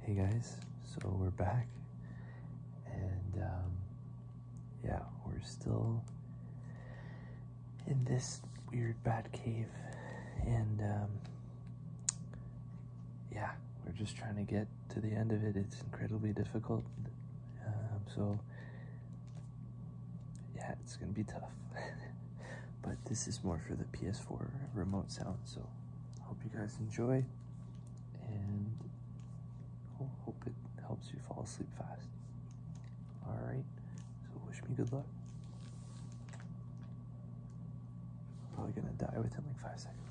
Hey guys, so we're back, and um, yeah, we're still in this weird bat cave, and um, yeah, we're just trying to get to the end of it. It's incredibly difficult, um, so yeah, it's gonna be tough. but this is more for the PS4 remote sound. So, hope you guys enjoy, and hope it helps you fall asleep fast. All right, so wish me good luck. Probably gonna die within like five seconds.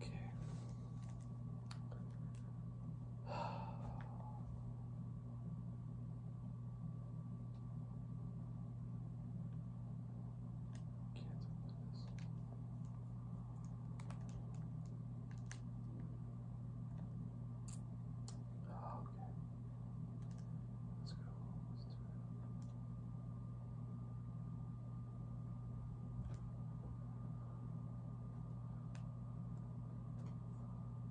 Okay. Oh, okay. Let's go.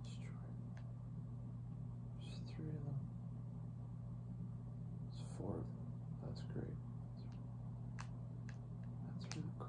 Destroy. There's three of them. It's four of them. That's great. That's really cool.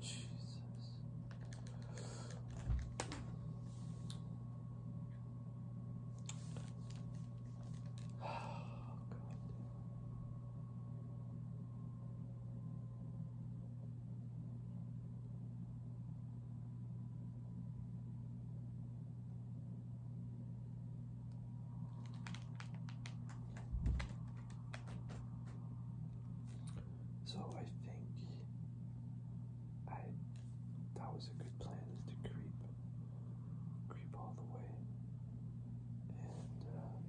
Jesus. Oh, God. So I think I that was a good plan to creep creep all the way and uh,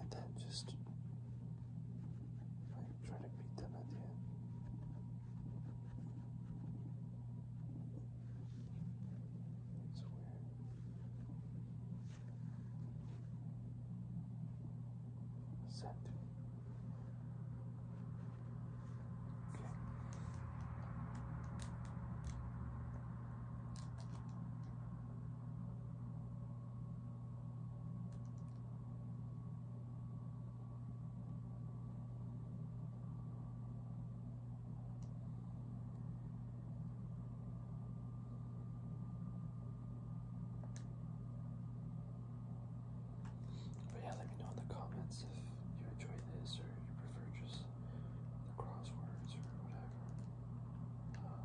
and then just try to beat them at the end. It's Set. Okay. But yeah, let me know in the comments if you enjoy this or you prefer just the crosswords or whatever. Um,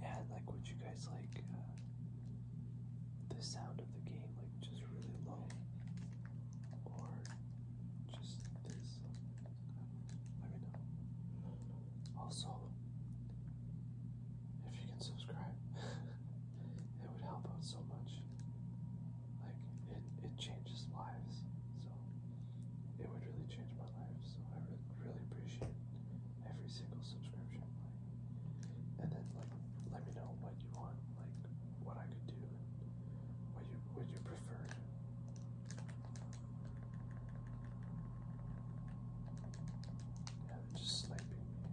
Yeah, like what you guys like uh, the sound of the game, like just really low, or just this? Let me know. Also, if you can subscribe, it would help out so much. Like it, it changes lives. So it would really change my life. So I re really appreciate every single subscription. and then like let me know what you want, like what I could do, and what you what you prefer. Yeah, they're just sleeping me. crazy.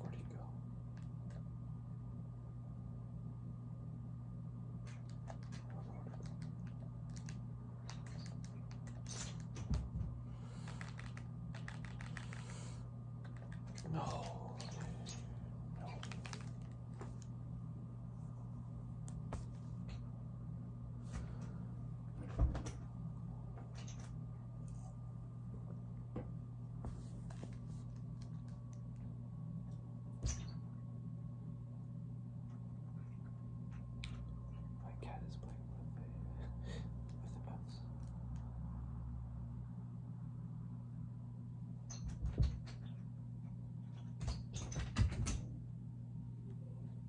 Where'd he go? No. No. My cat is playing with the, with the mouse.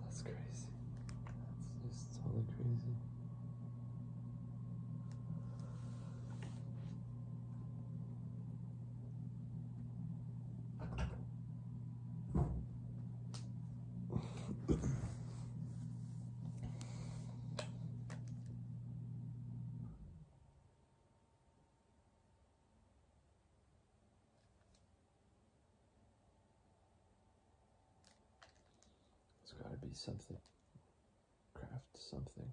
that's crazy. That's just totally crazy. It's got to be something. Craft something.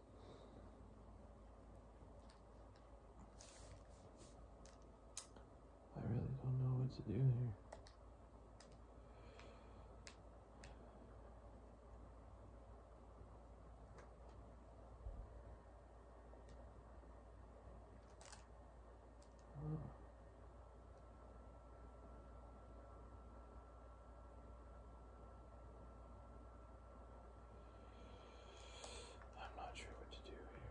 I really don't know what to do here. I'm not sure what to do here.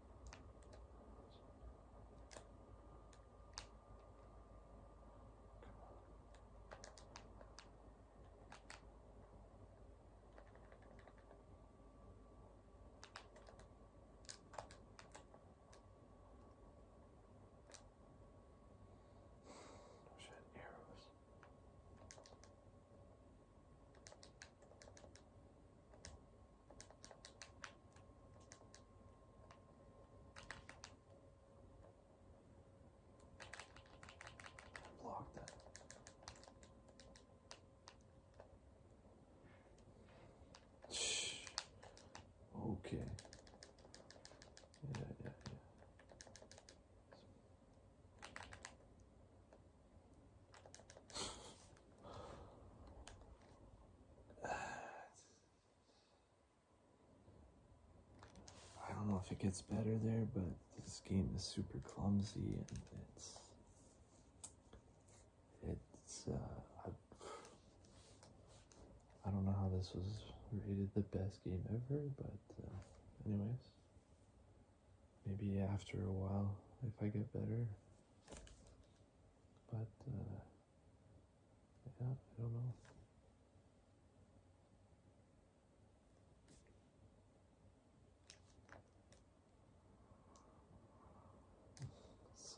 Oh shit, arrows. Block Okay. Yeah, yeah, yeah. I don't know if it gets better there, but this game is super clumsy and it's it's uh, I, don't know how this was rated the best game ever, but uh, anyways, maybe after a while if I get better. But, uh, yeah, I don't know. It's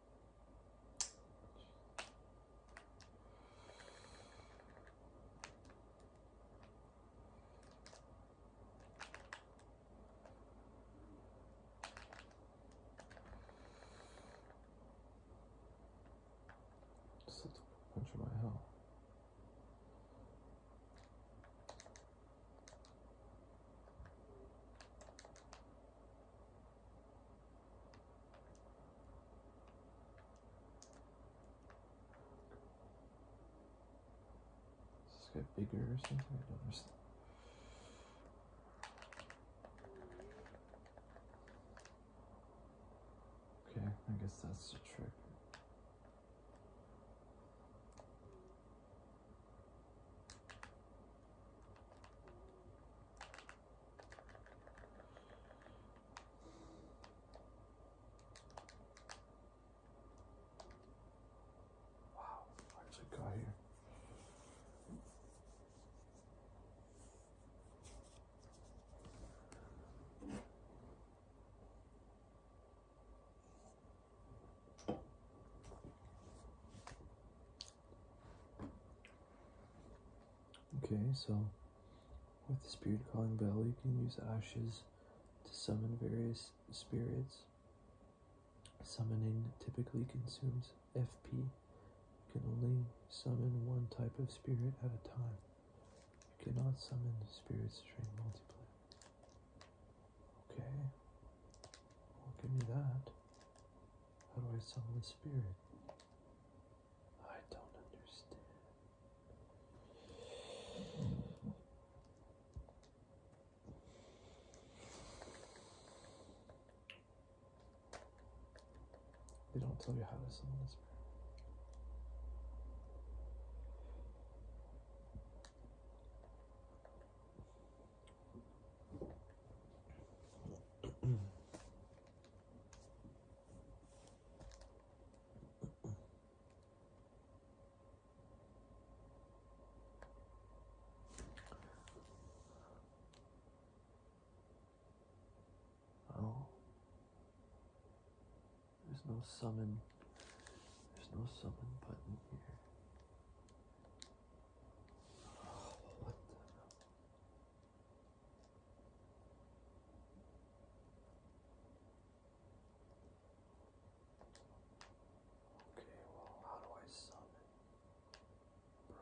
Just a bunch of my hell. Does this get bigger or something? I don't understand. Okay, I guess that's the trick. Wow, what does it got here? Okay, so with the spirit calling bell, you can use ashes to summon various spirits. Summoning typically consumes FP. You can only summon one type of spirit at a time. You cannot summon spirits to during multiplayer. Okay. Well, give me that. How do I summon the spirit? I don't understand. They don't tell you how to summon the spirit oh, there's no summon. There's no summon button here. Okay, well, how do I summon? Bro.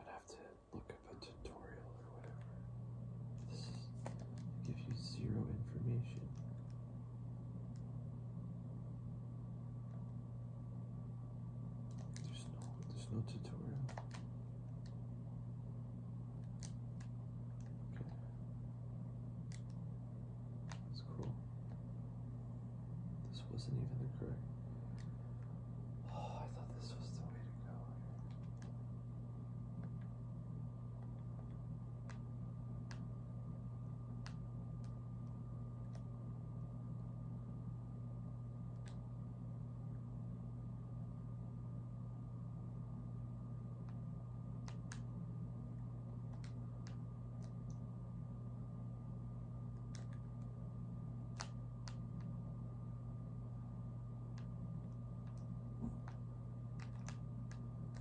I'm have to look up a tutorial or whatever. This gives you zero information. There's no, there's no tutorial. Okay. That's cool. This wasn't even the correct. Oh, I thought this was the way to go.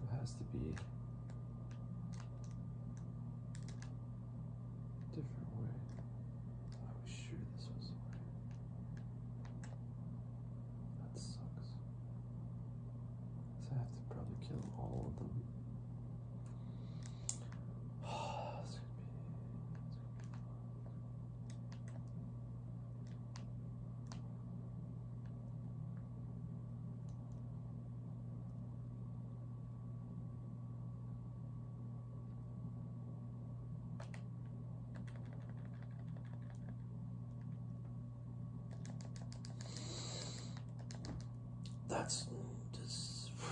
It has to be different way. I was sure this was the way. That sucks. So I have to probably kill all of them. That's just. What?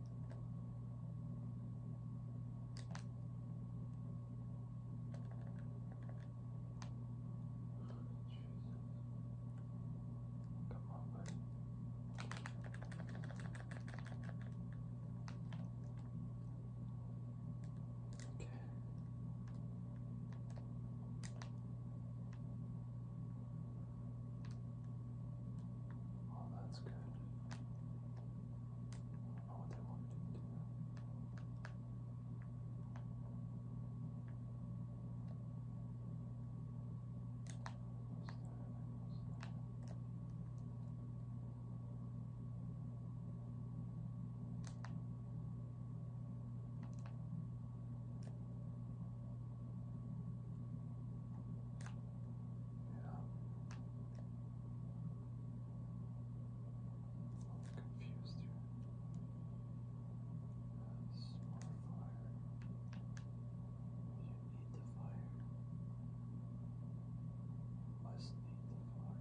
Come on, buddy. Okay. Oh, that's good. I don't know what they wanted to do. You I'm confused You need the fire. must need the fire.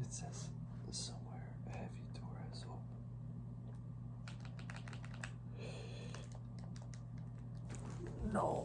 It says somewhere heavy doors open. No.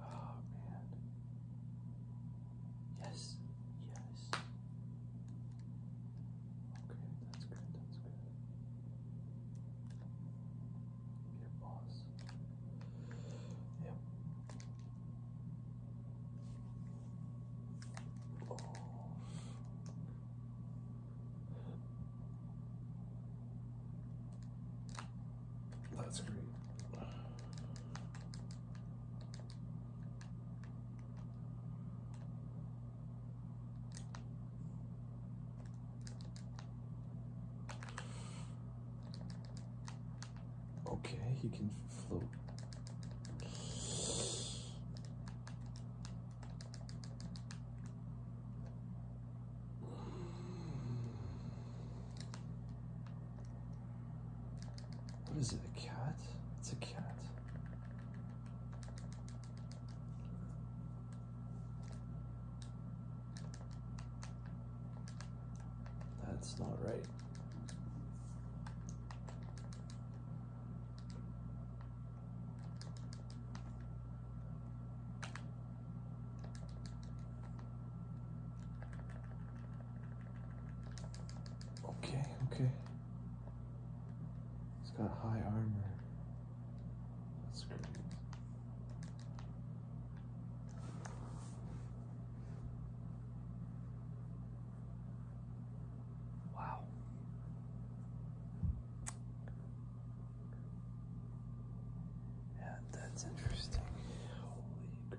Oh man. Yes. Yes. Okay, that's good. That's good. Your boss. Yep. Oh. That's great. Okay, he can float. What is it, a cat? It's a cat. That's not right. Okay, okay. It's got high armor. That's great. Wow. Yeah, that's interesting. Holy crap.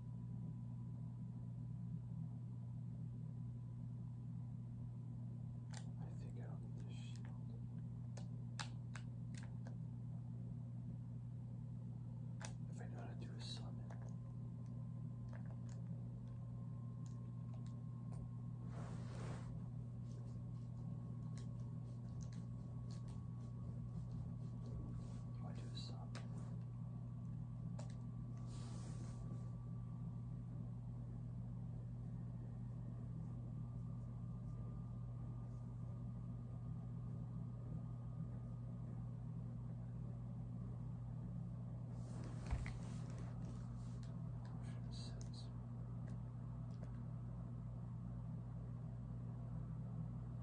I think I'll get this shield. If I know how to do a summon. Do I do a sub? Six.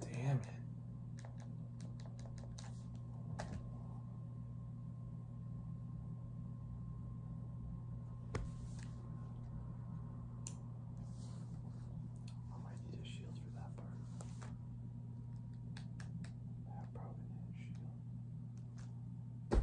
Damn it. I might need a shield for that part. I probably need a shield. Man.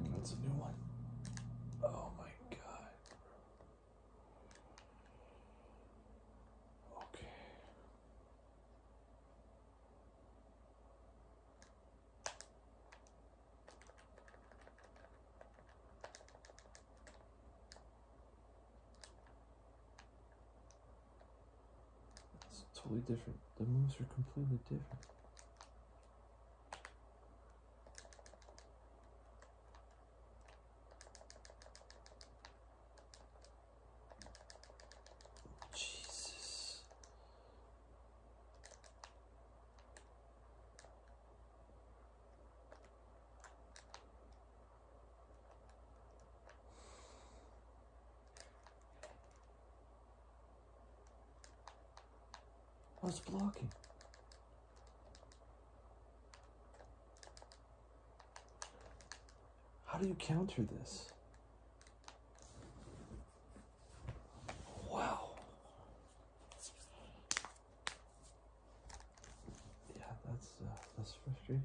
Mm, that's a new one. Oh my god. Okay. It's totally different. The moves are completely different. Jesus. What's blocking? How do you counter this? Wow yeah, that's uh, that's frustrating.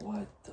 What the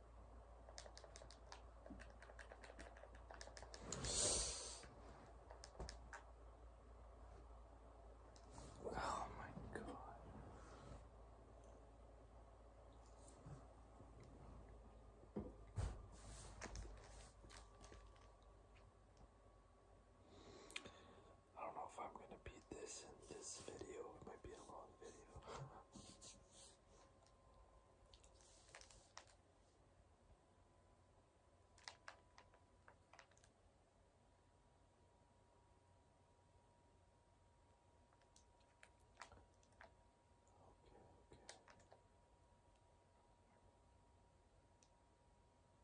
Oh my god. I don't know if I'm going to beat this in this video. It might be a long video.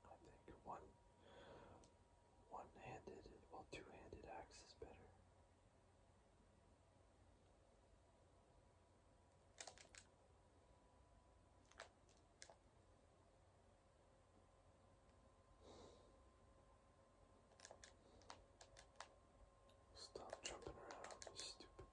I think one one handed well two handed axe is better. Stop jumping around, you stupid.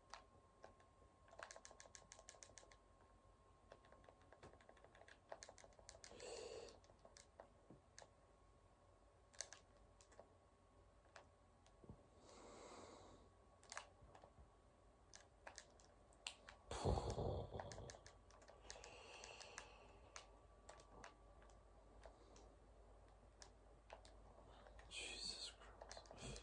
Jesus Christ.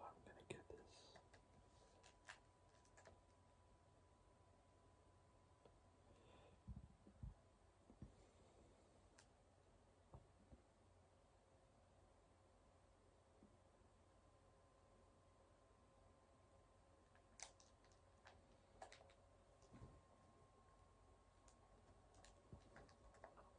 I'm gonna get this.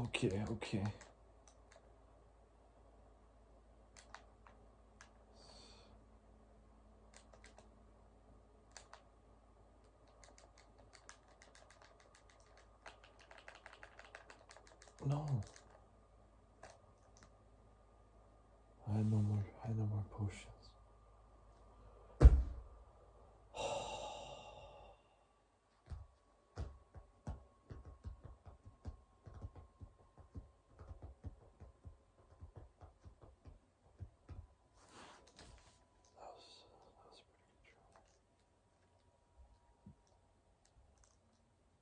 Okay, okay. No. I had no more. I had no more potions.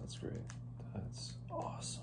That's great. That's awesome.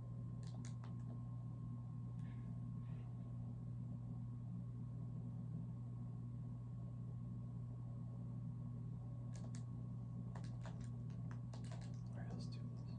Where else do this?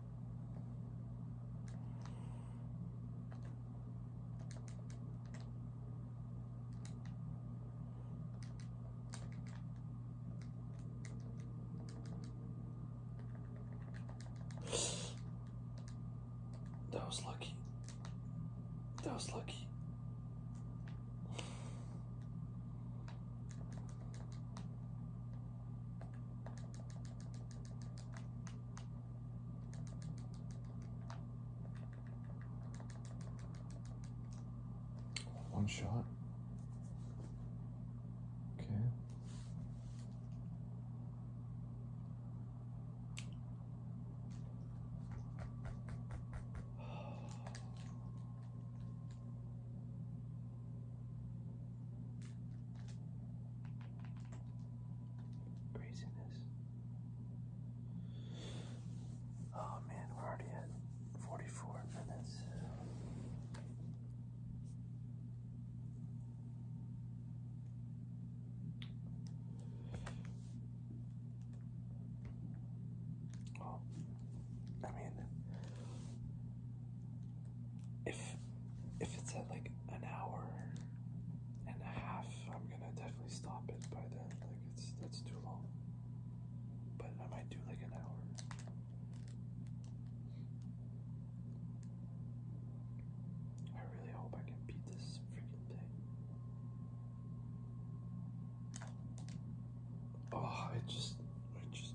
That was lucky. That was lucky. One shot. Okay. Craziness. Oh man, we're already at 44 minutes. Well, I mean, if if it's at like an hour and a half, I'm gonna definitely stop it by then. Like it's that's too long. But I might do like an hour. I really hope I can beat this freaking thing. Oh, I just, I just.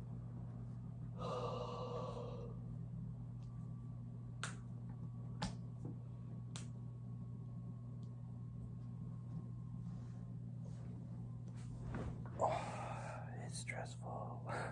stressful. oh man.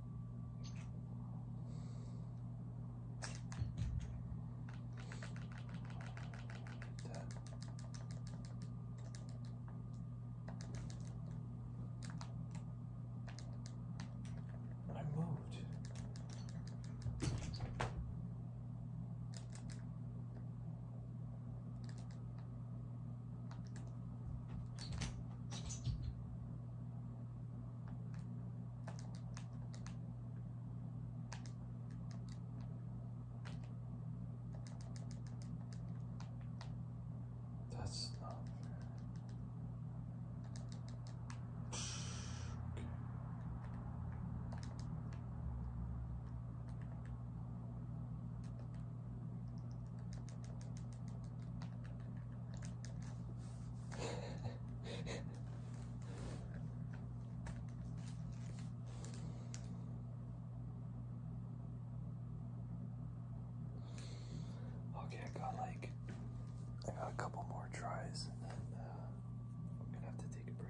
I moved. That's not fair. Okay okay, I got like I got a couple more tries and then I'm uh, gonna have to take a break.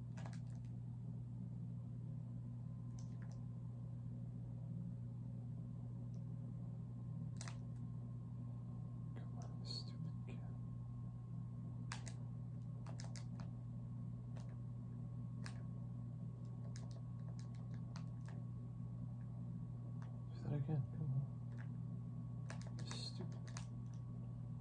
Come on, stupid cat. Do that again, come on. Stupid.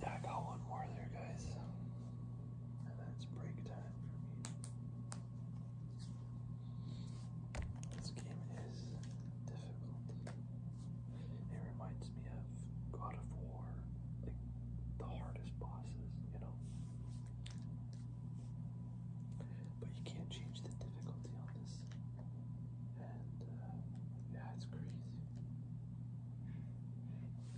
Yeah, I got one more there, guys and that's break time for me. This game is difficult. It reminds me of God of War, like the hardest bosses, you know. But you can't change the difficulty on this, and uh, yeah, it's crazy.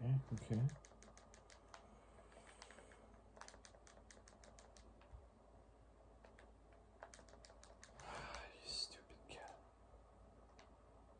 Okay, okay. you stupid cat.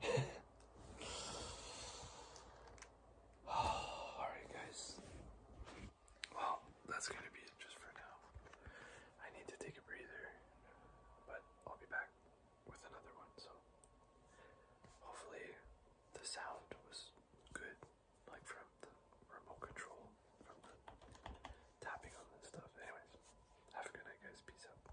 Alright, guys. Well, that's gonna be it just for now. I need to take a breather, but I'll be back with another one. So, hopefully, the sound was good, like from the remote control, from the tapping on this stuff. Anyways, have a good night, guys. Peace out.